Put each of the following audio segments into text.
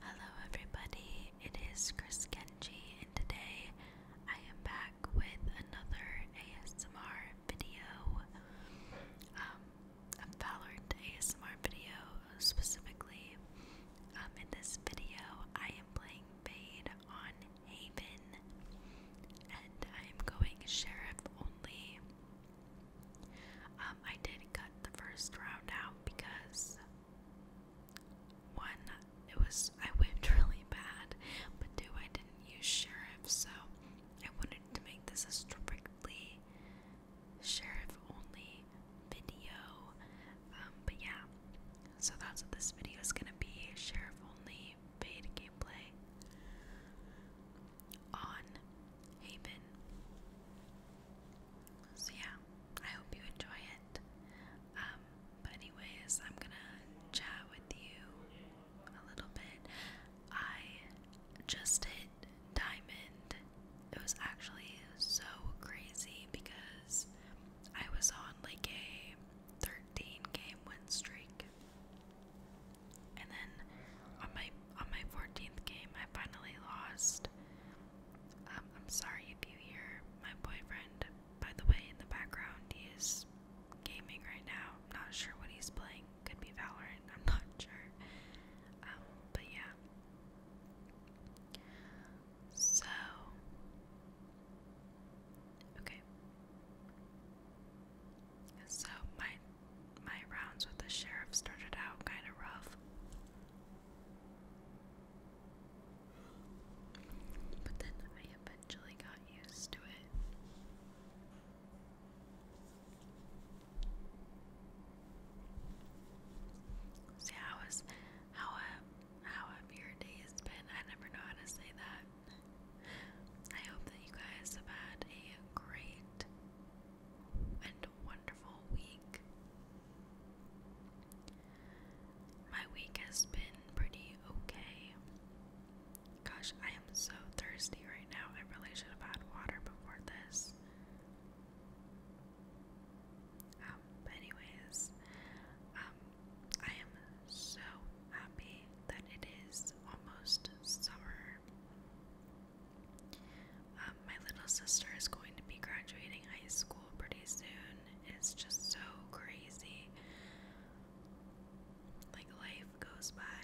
Hello, everybody, it is Chris Kenji, and today I am back with another ASMR video, um, a Valorant ASMR video specifically. Um, in this video, I am playing Fade on Haven, and I am going Sheriff only. Um, I did cut the first round out because one, it was I whipped really bad, but two, I didn't use sheriff, so I wanted to make this a strictly sheriff only video. Um, but yeah, so that's what this video is gonna be sheriff only paid gameplay on Haven. So yeah, I hope you enjoy it. Um, but anyways, I'm gonna chat with you a little bit. I just hit diamond. It was actually so crazy because I was on like a 13 game win streak. And then on my on my 14th game, I finally lost um, I'm sorry if you hear my boyfriend, by the way, in the background. He is gaming right now. I'm not sure what he's playing. Could be Valorant. I'm not sure. Um, but yeah. So. Okay. So my my rounds with the sheriff started out kind of rough. But then I eventually got used to it. See how have, uh, how have your days been? I never know how to say that. I hope that you guys have had a great and wonderful week. My week has been pretty okay. Gosh, I am so thirsty right now. I really should have had water before this. Um, but anyways, um, I am so happy that it is almost summer. Um, my little sister is going to be graduating high school pretty soon. It's just so crazy. Like life goes by.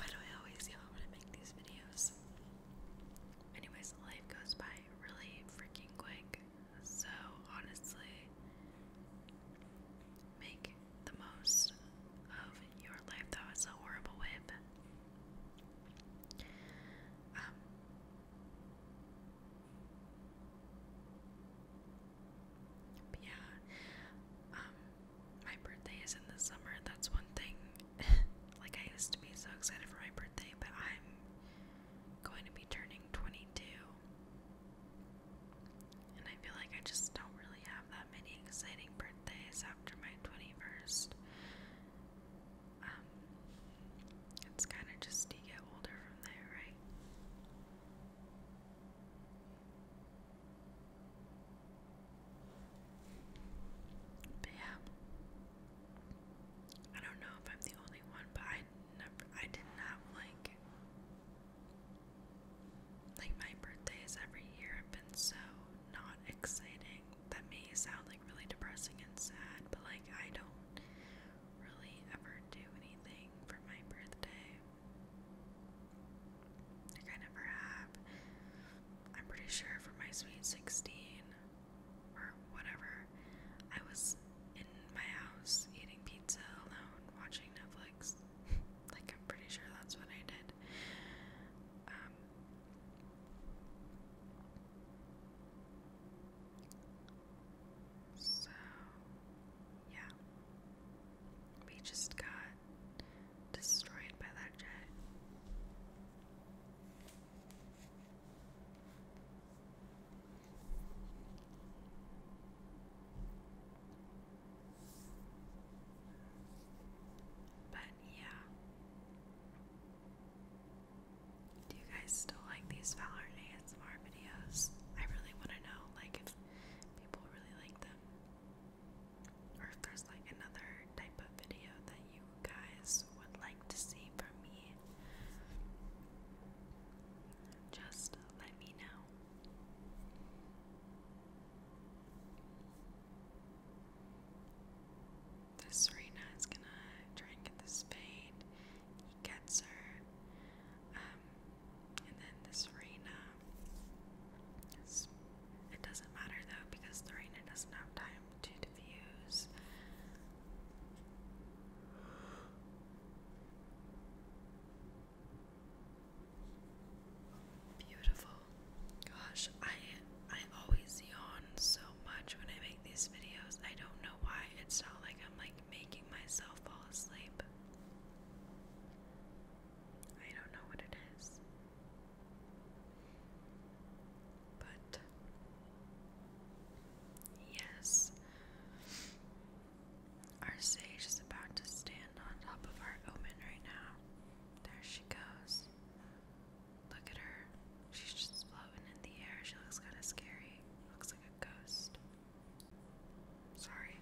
Why do I always yell when I make these videos? Anyways, life goes by really freaking quick. So honestly, make the most of your life. That was a horrible way. Um, but yeah, um, my birthday is in the summer. That's one thing. like I used to be so excited for my birthday, but I'm going to be turning 22 and I feel like I just don't really have that many exciting birthdays after my 21st. Um, it's kind of just you get older from there, right? But yeah, I don't know if I'm the only one, but I never, I did not like like my birthdays every year have been so not exciting. That may sound like really depressing and sad, but like I don't really ever do anything for my birthday. Like I never have. I'm pretty sure for my sweet 16 or whatever, I was in my house eating pizza alone, watching Netflix. like I'm pretty sure that's what I did. Um, so, yeah. We just got destroyed by that jet. But yeah. Do you guys still like these Valorant ASMR videos? I really want to know, like, if people really like them. Or if there's, like, another type of video that you guys would like to see from me. Just let me know. The Serena is gonna try and get the spade. He gets her. Um, and then the Serena. it doesn't matter though because the Serena doesn't have time to diffuse. Beautiful. Gosh, I I always yawn so much when I make these videos. I don't know why. It's not like I'm like making myself fall asleep. I don't know what it is. But yes. Our sage is about to stand on top of our omen right now. There she goes. Look at her. She's just floating in the air. She looks kind of scary. Looks like a ghost. Sorry.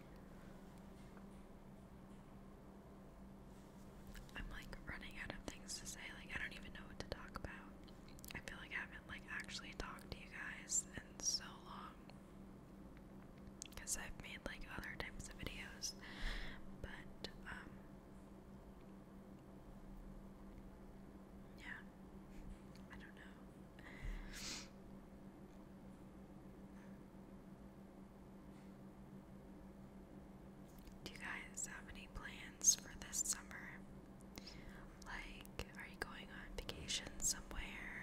I'm like running out of things to say. Like I don't even know what to talk about. I feel like I haven't like actually talked to you guys in so long because I've made like other types of videos, but um, yeah, I don't know. Do you guys have any plans for this summer? Like, are you going on vacation somewhere?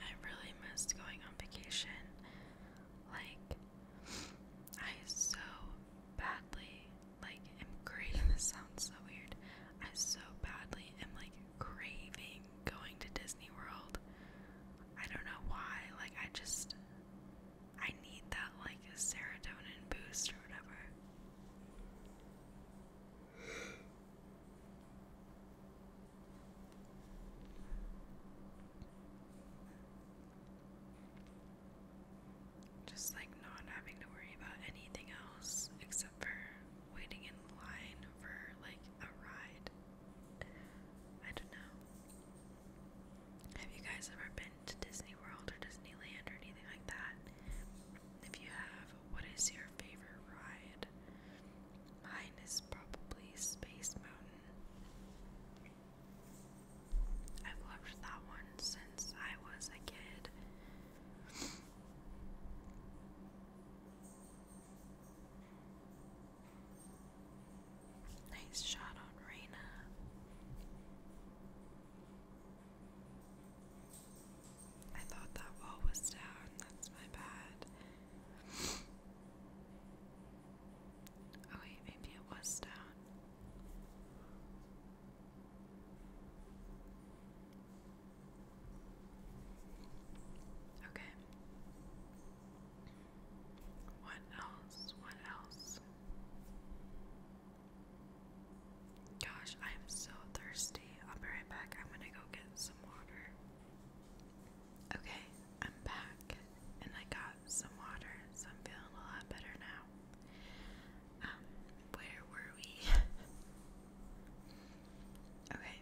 I really missed going vacation. Like, I so badly, like, am craving, this sounds so weird. I so badly am, like, craving going to Disney World. I don't know why, like, I just, I need that, like, a serotonin boost or whatever. Just like not having to worry about anything else except for waiting in line for like a ride. I don't know. Have you guys ever been to Disney World or Disneyland or anything like that? If you have, what is your favorite ride? Mine is probably Space Mountain. I've loved that one since I was a kid. nice shot on Reina. I thought that wall was down. That's my bad. Oh, wait, maybe it was down. Okay. What else? What else? Gosh, I am so thirsty. I'll be right back. I'm gonna go get some water. Okay, I'm back and I got some water, so I'm feeling a lot better now. Um, where were we? okay.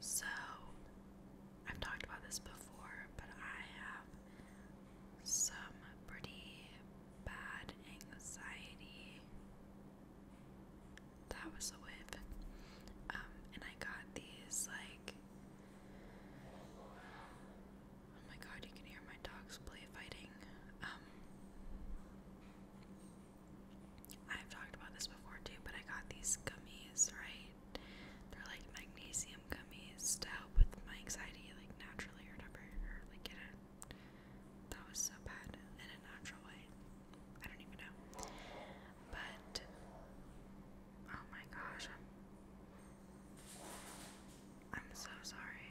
So, I've talked about this before, but I have some pretty bad anxiety that was a whip. Um, and I got these like oh my god, you can hear my dogs play fighting. Um, I've talked about this before too, but I got these gummies, right? They're like magnesium gummies to help with my anxiety, like naturally or whatever, or like get it. That was so bad in a natural way. I don't even know. But oh my gosh, I'm so sorry.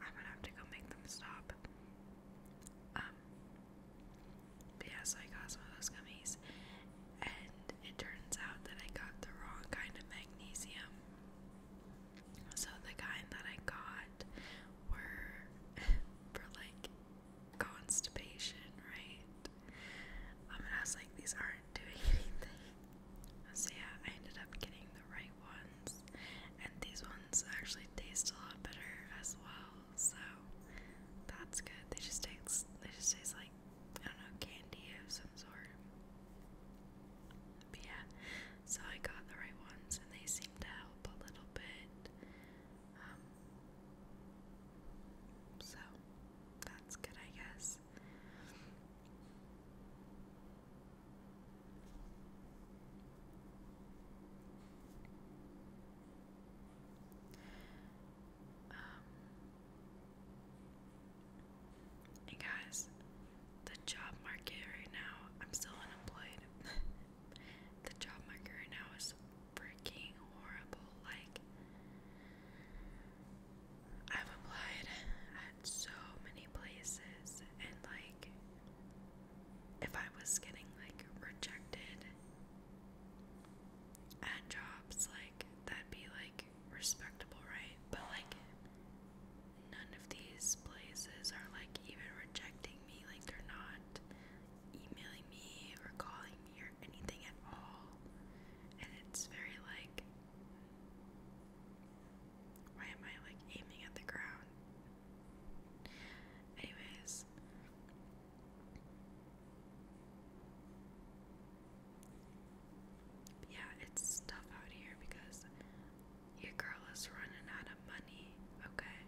I'm gonna have to go make them stop. Um yeah, so I got some of those gummies and it turns out that I got the wrong kind of magnesium. So the kind that I got were for like constipation, right? Um, and I was like, these aren't doing anything. So yeah, I ended up getting the right ones, and these ones actually taste a lot better as well. So that's good. They just taste, they just taste like I don't know candy of some sort. But yeah, so I got the right ones, and they seem to help a little bit. Um, so that's good, I guess. Um, guys, the job market right now, I'm still unemployed. The job market right now is freaking horrible. Like, I've applied at so many places, and like, if I was getting like rejected at jobs, like, that'd be like respectable, right? But like, none of these places are like even rejecting me, like they're not emailing me or calling me or anything at all. And it's very like, why am I like aiming at the ground? Anyways, yeah, it's tough out here because your girl is running out of money, okay?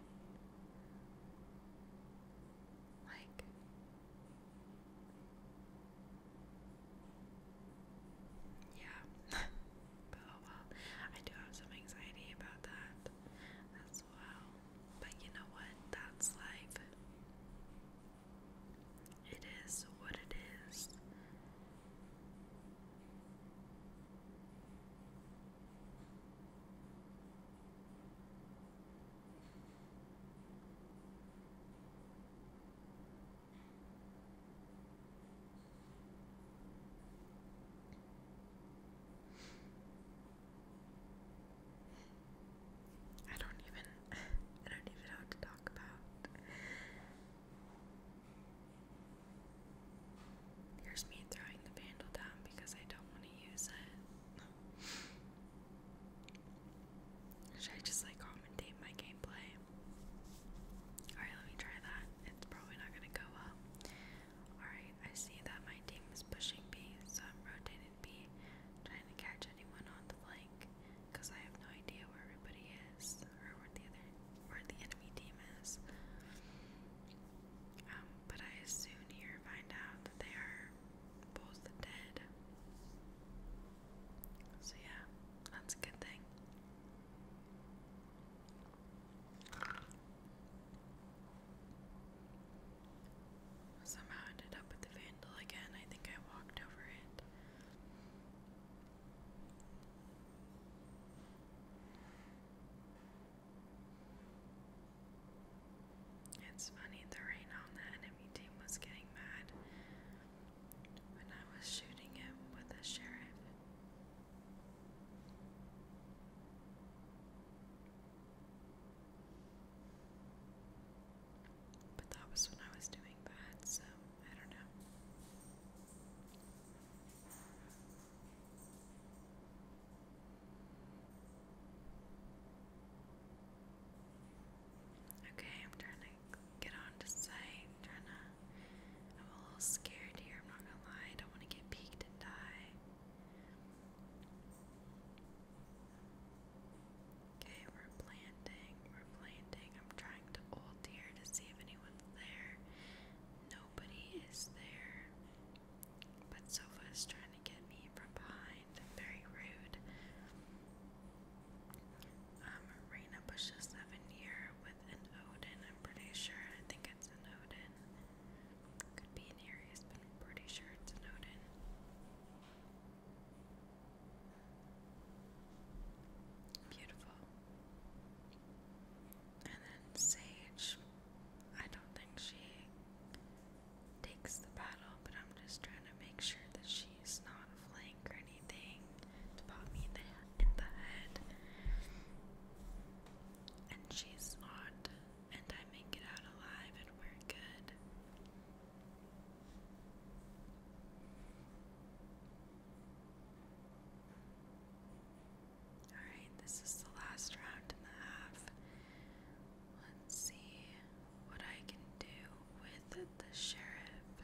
Like, yeah, but oh well. I do have some anxiety about that as well. But you know what? That's life. It is what it is. I don't even I don't even know what to talk about. Here's me throwing the vandal down because I don't want to use it. Should I just like commentate my gameplay? Alright, let me try that. It's probably not gonna go well. Alright, I see that my team is pushing B, so I'm rotating B, trying to catch anyone on the flank, because I have no idea where everybody is, or where the other where the enemy team is. Um, but I soon here find out that they are both dead. So, yeah, that's a good thing. Somehow ended up with the vandal again. I think I walked over it. It's funny, the rain on the enemy team was getting mad when I was shooting him with a sheriff. But that was when I was doing that, so I don't know. Okay, I'm trying to get on to sight. trying to. I'm a little scared here. I'm not gonna lie. I don't want to get peeked and die. Okay, we're planting. We're planting. I'm trying to ult here to see if anyone's there. Nobody is there. But Sofa is trying to get me from behind. Very rude. Um, Reina pushes seven year with an Odin, I'm pretty sure. I think it's an Odin. Could be an I'm pretty sure it's an Odin. Beautiful. And then Sage. I don't think she takes the battle, but I'm just trying to make sure that she's not a flank or anything to pop me in the, in the head. And she's not, and I make it out alive, and we're good. Alright, this is the last round and a half. Let's see what I can do with the sheriff.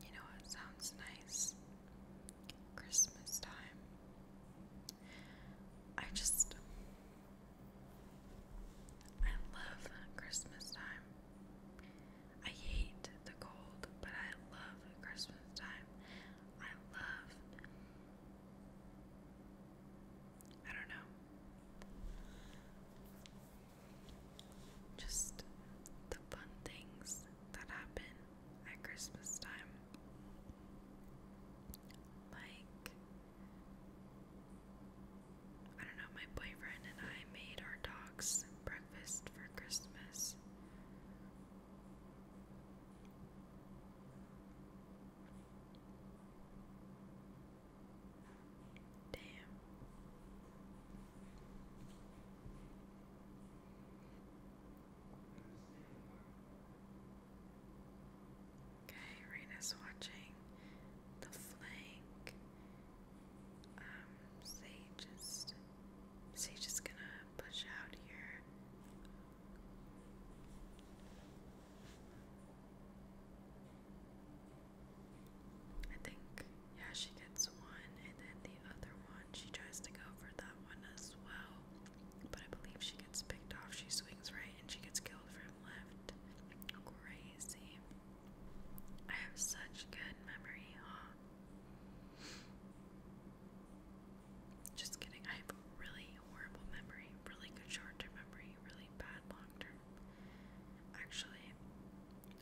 You know, it sounds nice. Christmas time. I just I love Christmas time. I hate the cold, but I love Christmas time. I love. I don't know. Just the fun things that happen at Christmas time. Like I don't know, my boyfriend and I made our dogs breakfast for Christmas. Damn. Okay, Raina's watching the flank. Um, Sage is Sage is gonna push out here. I think, yeah, she gets one, and then the other one, she tries to go for that one as well. But I believe she gets picked off. She swings right and she gets killed for left. Crazy. I have such good memory, huh? Just kidding. I have really horrible memory, really good short-term memory, really bad long-term. Actually,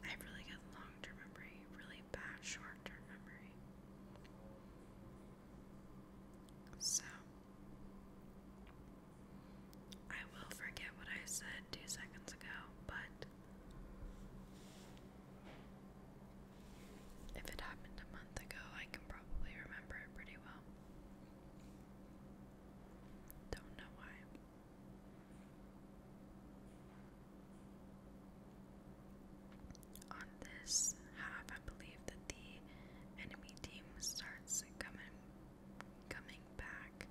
I have really good long-term memory, really bad short-term memory. So, I will forget what I said two seconds ago, but if it happened a month ago, I can probably remember it pretty well. Don't know why. On this half, I believe that the enemy team starts coming coming back.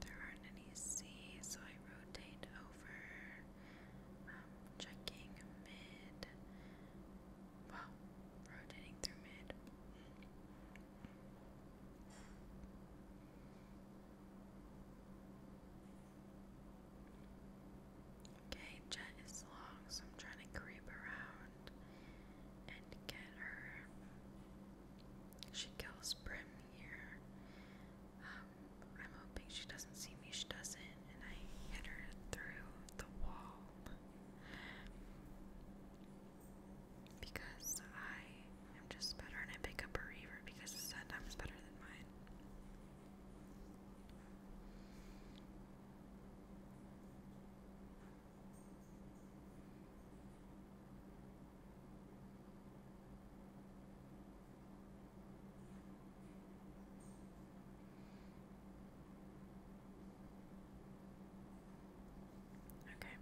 There aren't any C, so I rotate over, um, checking mid. Well, rotating through mid. Okay, Jet is long, so I'm trying to creep around and get her. She kills Brim here. Um, I'm hoping she doesn't see me. She doesn't, and I hit her through the wall because I am just better, and I pick up a reaver because the sun time is better than mine. Okay,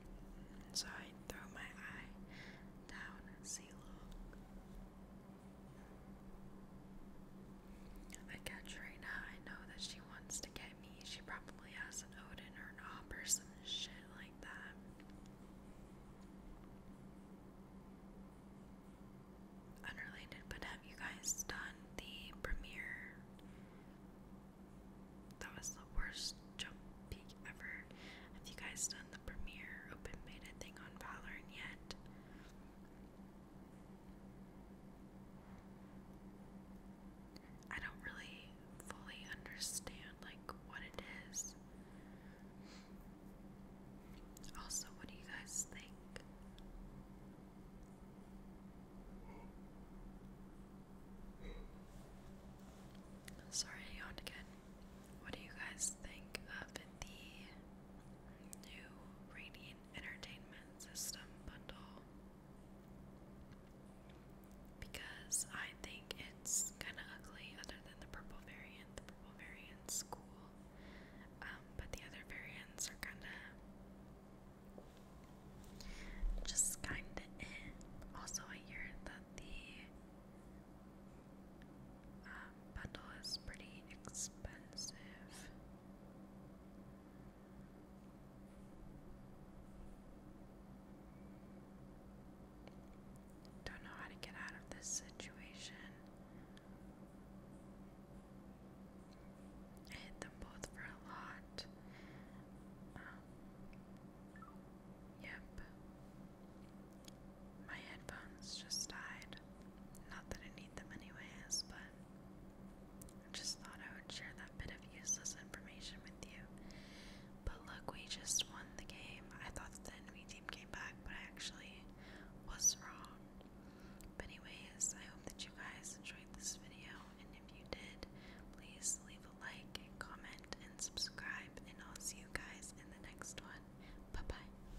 so I throw my eye down and see, look. I catch Reina. I know that she wants to get me. She probably has an Odin or an Op or some shit like that. Unrelated, but have you guys done the premiere? That was the worst jump peak ever. Have you guys done the premiere open beta thing on Valorant yet? I don't really fully understand like what it is. Also, what do you guys think? Sorry, I yawned again. What do you guys think of the new Radiant Entertainment System bundle because I think it's kind of ugly, other than the purple variant. The purple variant's cool, um, but the other variants are kind of just kind of eh. Also, I hear that the um, bundle is pretty expensive. Don't know how to get out of this situation. I hit them both for a lot. Um, yep. My headphones just died. Not that I need them anyways, but just thought I would share that bit of useless information with you. But look, we just won the game. I thought the enemy team came back, but I actually was wrong. But anyways, I hope that you guys enjoyed this video, and if you did, please leave a like, comment, and subscribe, and I'll see you guys in the next one. Bye-bye.